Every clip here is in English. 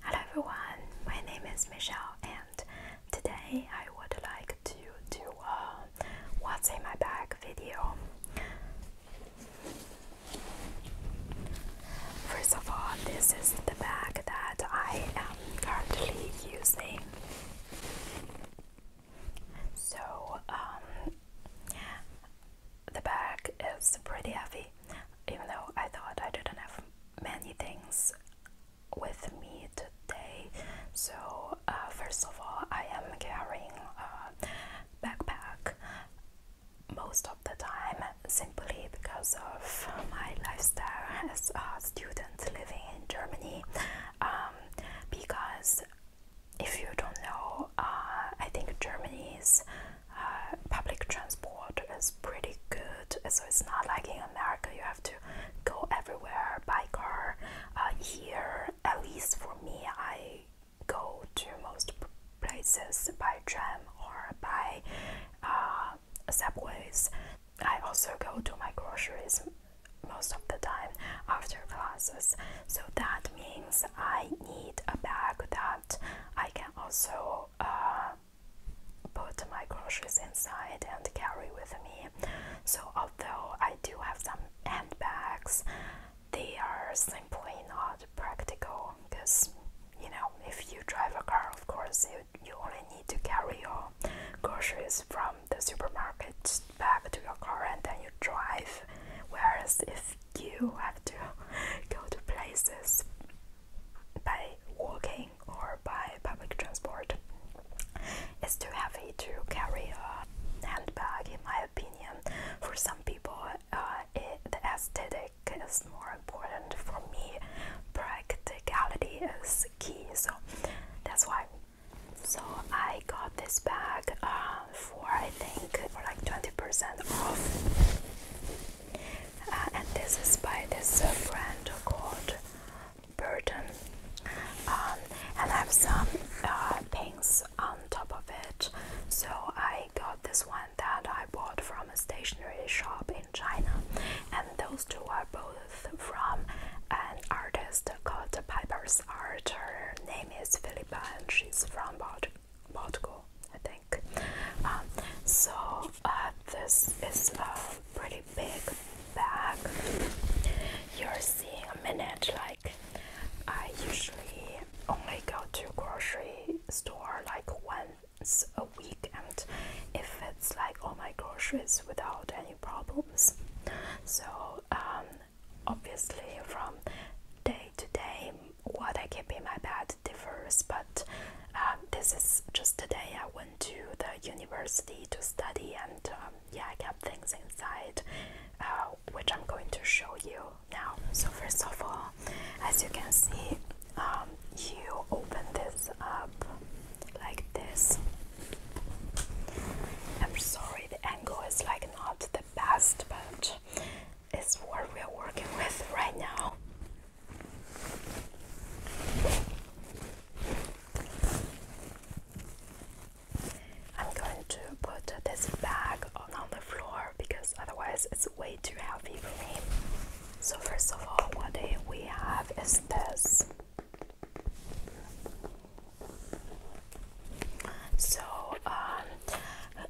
Hello everyone, my name is Michelle and today I would like to do a what's in my bag video. First of all, this is the bag that I am currently using. So, um, the bag is pretty heavy, even though I thought I didn't have many things with me today. So, uh, first of all, I am carrying a backpack most of the time simply because of my lifestyle as a student living in Germany. Um, because if you don't know, uh, I think Germany is uh, public transport is pretty good. So it's not like in America you have to go everywhere by car. Uh, here, at least for me, I go to most places by tram or by uh, subways. I also go to my groceries most of the time after classes. So that means I need a bag that I can also put my groceries inside and carry with me. So, although I do have some handbags, they are simply not practical because you know, if you drive a car, of course, you, you only need to carry your groceries from the supermarket back to your car and then you drive. Whereas if you have to go to places by walking or by public transport it's too heavy to carry a handbag in my opinion for some people uh, the aesthetic is more important for me practicality is key so that's why so I got this bag uh, for I think for like 20% off uh, and this is by this brand uh, called Burton. Um, and I have some uh, on top of it. So I got this one that I bought from a stationery shop in China, and those two are both from an artist called Piper's Art. Her name is Philippa, and she's from Baltic Portugal, I think. Um, so uh, this is a pretty big bag. You're seeing a minute like I usually only go to grocery store like once a week and if it's like all my groceries without any problems. So um, obviously from day to day what I keep in my bag that differs, but um, this is just the day I went to the university to study, and um, yeah, I kept things inside, uh, which I'm going to show you now. So, first of all, as you can see, um, you open this up like this. I'm sorry, the angle is like not the best, but it's what we're working with right now. I'm going to put this bag on, on the floor because otherwise it's way too heavy for me. So, first of all, what we have is this. So, um,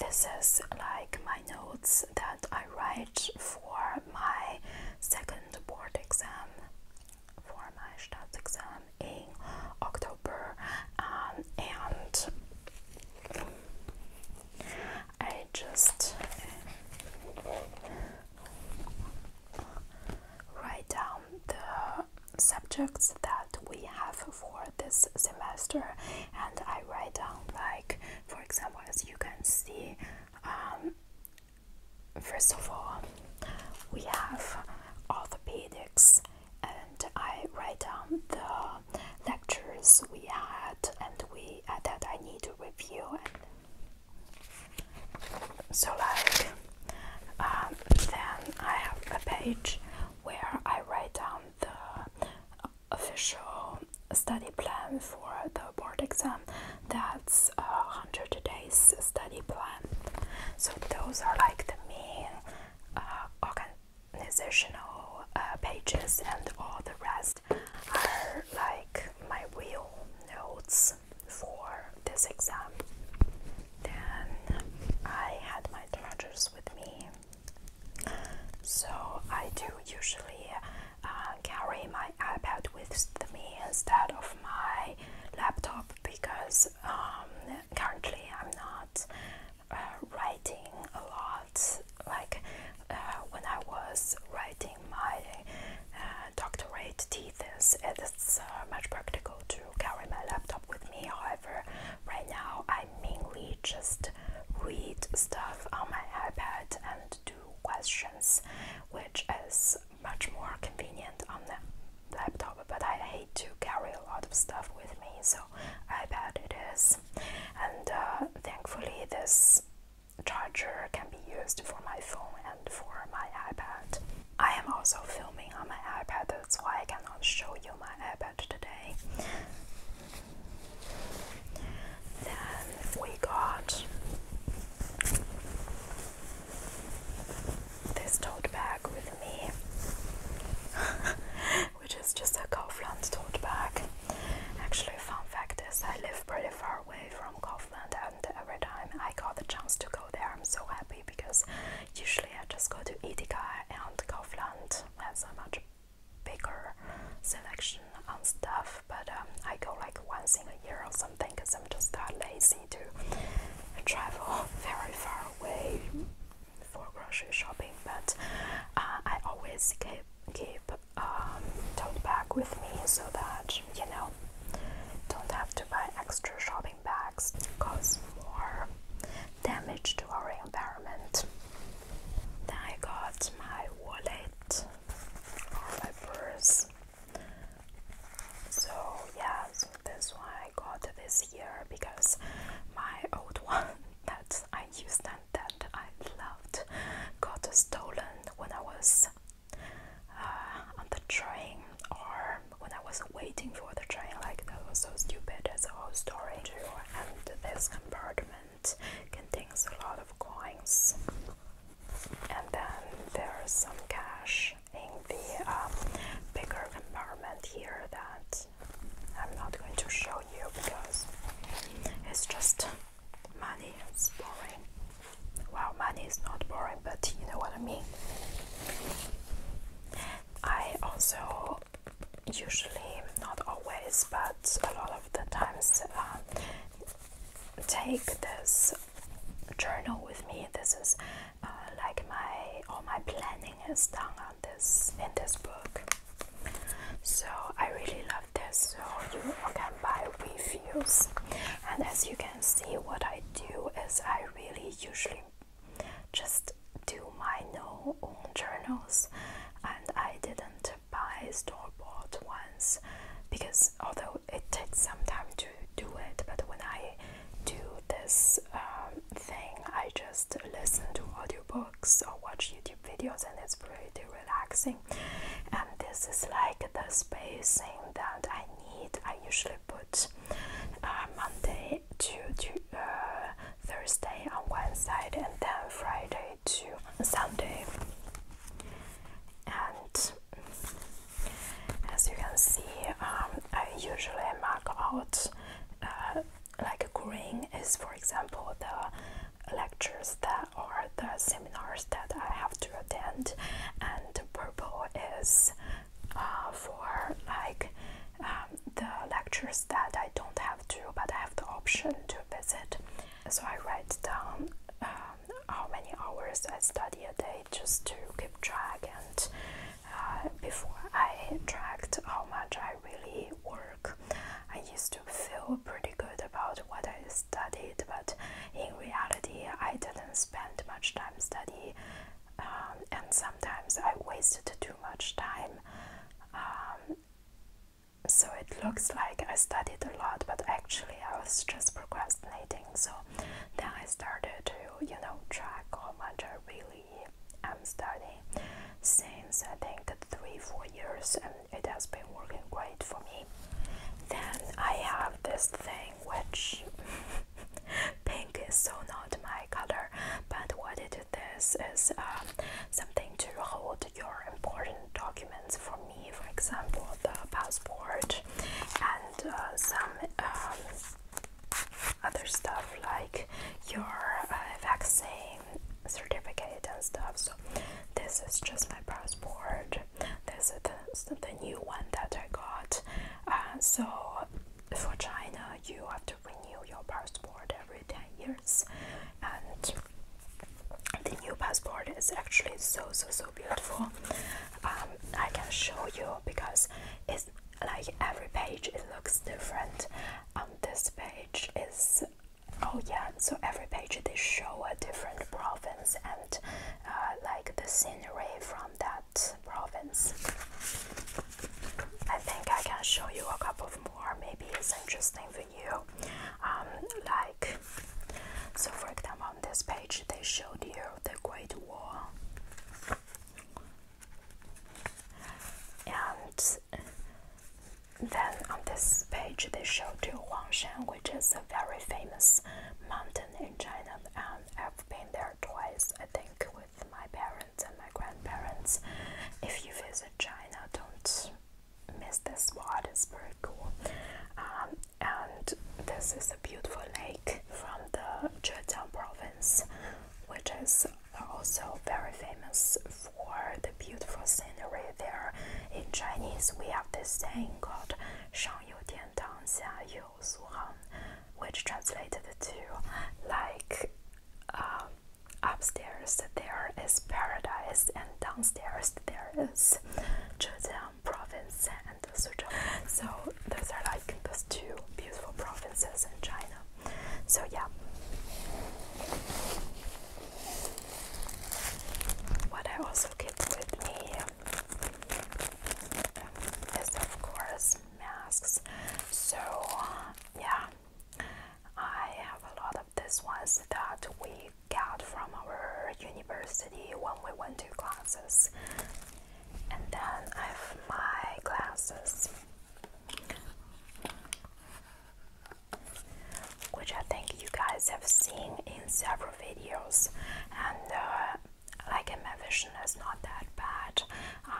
this is like my notes that I write for my second board exam, for my exam in October, um, and I just write down the subjects that we have for this semester, and I write down like for example as you can see um, first of all we have orthopedics and I write down the lectures we had and we uh, that I need to review and so like um, then I have a page where I write down the official study plan for the board exam that's a 100 days study plan so those are like the main uh, organizational uh, pages and all the rest are like my real notes for this exam then i had my chargers with me so I do usually uh, carry my iPad with me instead of my laptop because um, currently I'm not uh, writing a lot. Like uh, when I was writing my doctorate thesis, it's much practical to carry my laptop with me. However, right now I mainly just read stuff on my iPad and do questions, which is much more convenient on the laptop. But I hate to carry a lot of stuff with me, so iPad it is. And uh, thankfully, this charger can be used for my phone and for my iPad. I am also filming on my iPad, that's why I cannot show you my iPad today. Then we got this tote bag with me, which is just a Kaufland tote bag. Actually, fun fact is, I live pretty far away from Kaufland, and every time I got the chance to go there, I'm so happy because usually I just go to Edeka, and Kaufland has a much bigger selection on stuff, but um, I go like once in a year or something because I'm just that lazy to travel very far away for grocery shopping. But uh, I always keep keep um, tote bag with me so that you know don't have to buy extra shopping bags, cause more damage to our environment. Then I got my wallet or my purse. So yeah, that's why I got this year because my old one that I used and that I loved got stolen when I was uh, on the train or when I was waiting for the train. Like that was so stupid. That's a whole story. And this compartment contains a lot of coins. And then there's some cash in the um, bigger compartment here that I'm not going to show you because it's just money, it's boring. Well, money is not boring, but you know what I mean. I also usually not always but a lot of the times um, take this journal with me this is uh, like my all my planning is done on this in this book so I really love this so you can buy reviews and as you can see what I do is I really usually just do my no own journals and I didn't buy store-bought ones because although it takes some time to do it, but when I do this um, thing, I just listen to audiobooks or watch YouTube videos, and it's pretty relaxing. And this is like the spacing that I need. I usually put uh, Monday to, to uh, Thursday on Wednesday and then Friday to Sunday. And as you can see, um, I usually mark out uh, like green is, for example, the lectures that or the seminars that I have to attend, and purple is uh, for like um, the lectures that I don't have to, but I have the option to visit. So I write down um, how many hours I study a day just to keep track and uh, before I tracked how much I really work. I used to feel pretty good about what I studied, but in reality, I didn't spend much time studying, um, and sometimes I wasted too much time. Um, so it looks like I studied a lot, but actually I was just procrastinating. So then I started to, you know, track how much I really am studying since I think three, four years, and it has been working great for me. Then I have this thing which pink is so not my color, but what it this is um, something to hold your important documents for me, for example, the passport and uh, some um, other stuff like your uh, vaccine certificate and stuff. So, this is just my passport, this is the, new one that I got. Uh, so, for China, you have to renew your passport every 10 years and the new passport is actually so so so beautiful um, I can show you because it's like every page it looks different On um, this page is oh yeah so every page they show a different province and uh, like the scenery from that province I think I can show you a couple more maybe it's interesting you um, like so for example on this page they showed you the Great Wall, and then on this page they showed you Huangshan which is a very famous mountain in China and um, I've been there twice I think with my parents and my grandparents if you visit China don't miss this spot. It's very cool. Um, and this is a beautiful lake from the Zhejiang province, which is also very famous for the beautiful scenery there. In Chinese, we have this saying called "Shang which translated to like. Um, Upstairs there is paradise, and downstairs there is Zhejiang province and Suzhou. So those are like those two beautiful provinces in China. So yeah. What I also keep with me is of course masks. So yeah, I have a lot of this was that we got from our university when we went to classes. And then I have my glasses, which I think you guys have seen in several videos. And uh, like my vision is not that bad. Uh,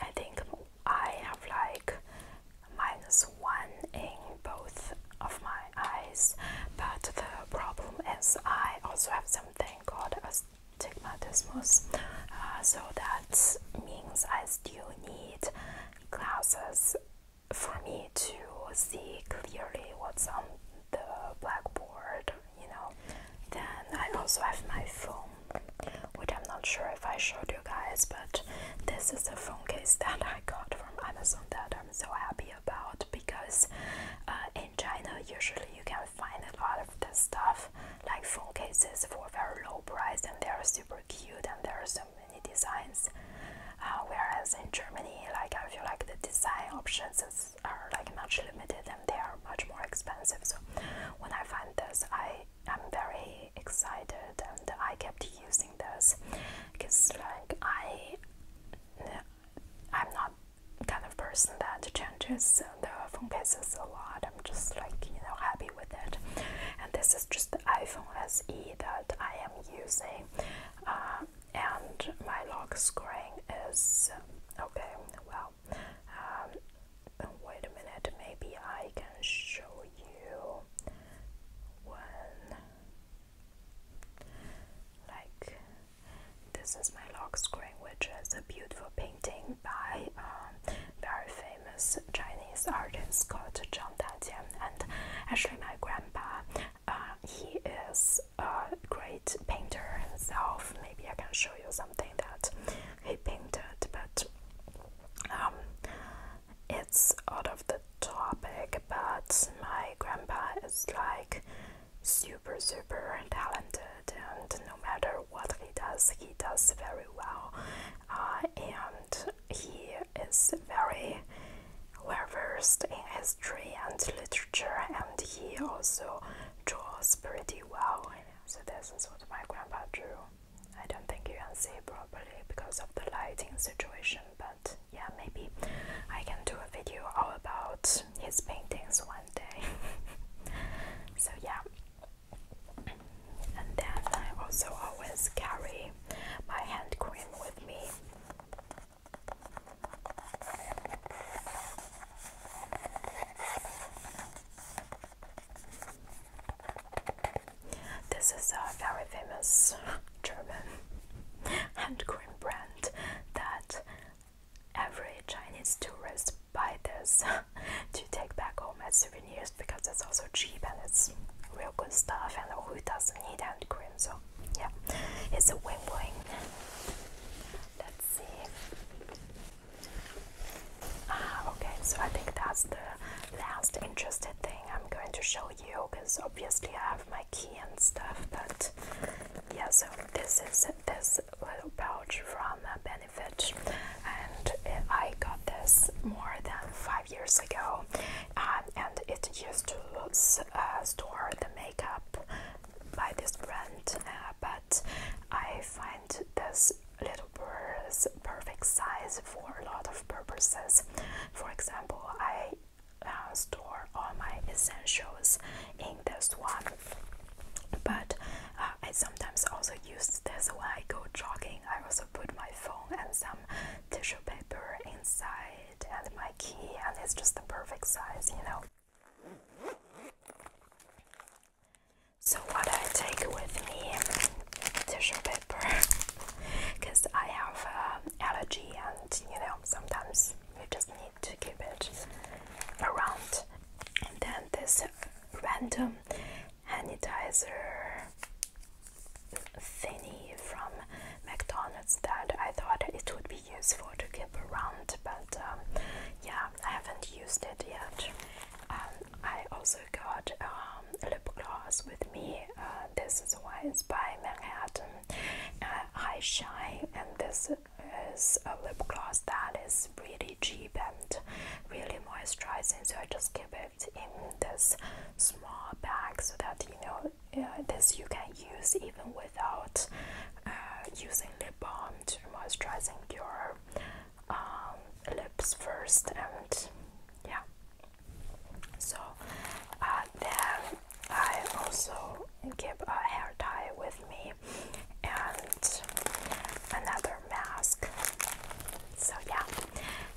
I think I have like minus one in both of my eyes, but the problem is I also have something called astigmatismus, uh, so that means I still need glasses for me to see clearly what's on the blackboard, you know. Then I also have my phone which I'm not sure if I showed you guys, but this is a phone case that I got from Amazon that I'm so happy about because uh, in China, usually you can find a lot of this stuff like phone cases for very low price and they're super cute and there are so many designs. Uh, whereas in Germany, like I feel like the design options are like much limited and they are much more expensive. So when I find this, I am very excited and I kept using this because like I I'm not kind of person that changes the phone cases a lot I'm just like you know happy with it and this is just the iPhone SE that I am using uh, and my lock screen is okay well um, wait a minute maybe I can show you well like this is my lock screen which is a beautiful painting by a um, very famous Chinese artist called Zhang Dadian and actually my grandpa uh, he is a great painter himself maybe I can show you something that he painted but um, it's out of the topic, but my grandpa is like super, super talented, and no matter what he does, he does very well. Uh, and he is very well versed in history and literature, and he also draws pretty well. So, this is what my grandpa drew. I don't think you can see properly because of the lighting situation, but yeah, maybe I can do a video all about his paintings one day. so, yeah. And then I also always carry my hand cream with me. This is a very famous German hand cream brand that every Chinese tourist buys this to take back home as souvenirs because it's also cheap and it's real good stuff and who doesn't need hand cream so yeah it's a win-win let's see Ah, okay, so I think that's the last interested thing I'm going to show you because obviously I have my key and stuff, but yeah, so this is this little pouch from uh, Benefit, and I got this more than five years ago, um, and it used to uh, store the makeup by this brand, uh, but I find this little bird's perfect size for a lot of purposes. For example, I uh, store all my essentials in this one, but uh, I sometimes also use this when I go jogging. I also put my phone and some tissue paper inside, and my key, and it's just the perfect size, you know. So, what I take with me tissue paper because I have um, allergy and you know sometimes you just need to keep it around and then this random sanitizer thingy from McDonald's that I thought it would be useful to keep around but um, yeah I haven't used it yet I also also got um, lip gloss with me. Uh, this is one by Manhattan uh, High Shine, and this is a lip gloss that is really cheap and really moisturizing. So I just keep it in this small bag so that you know uh, this you can use even without uh, using lip balm to moisturizing your um, lips first and yeah so uh, then I also keep a hair tie with me and another mask. So yeah,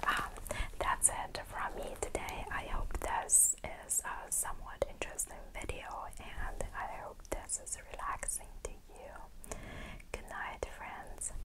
um, that's it from me today. I hope this is a somewhat interesting video and I hope this is relaxing to you. Good night, friends.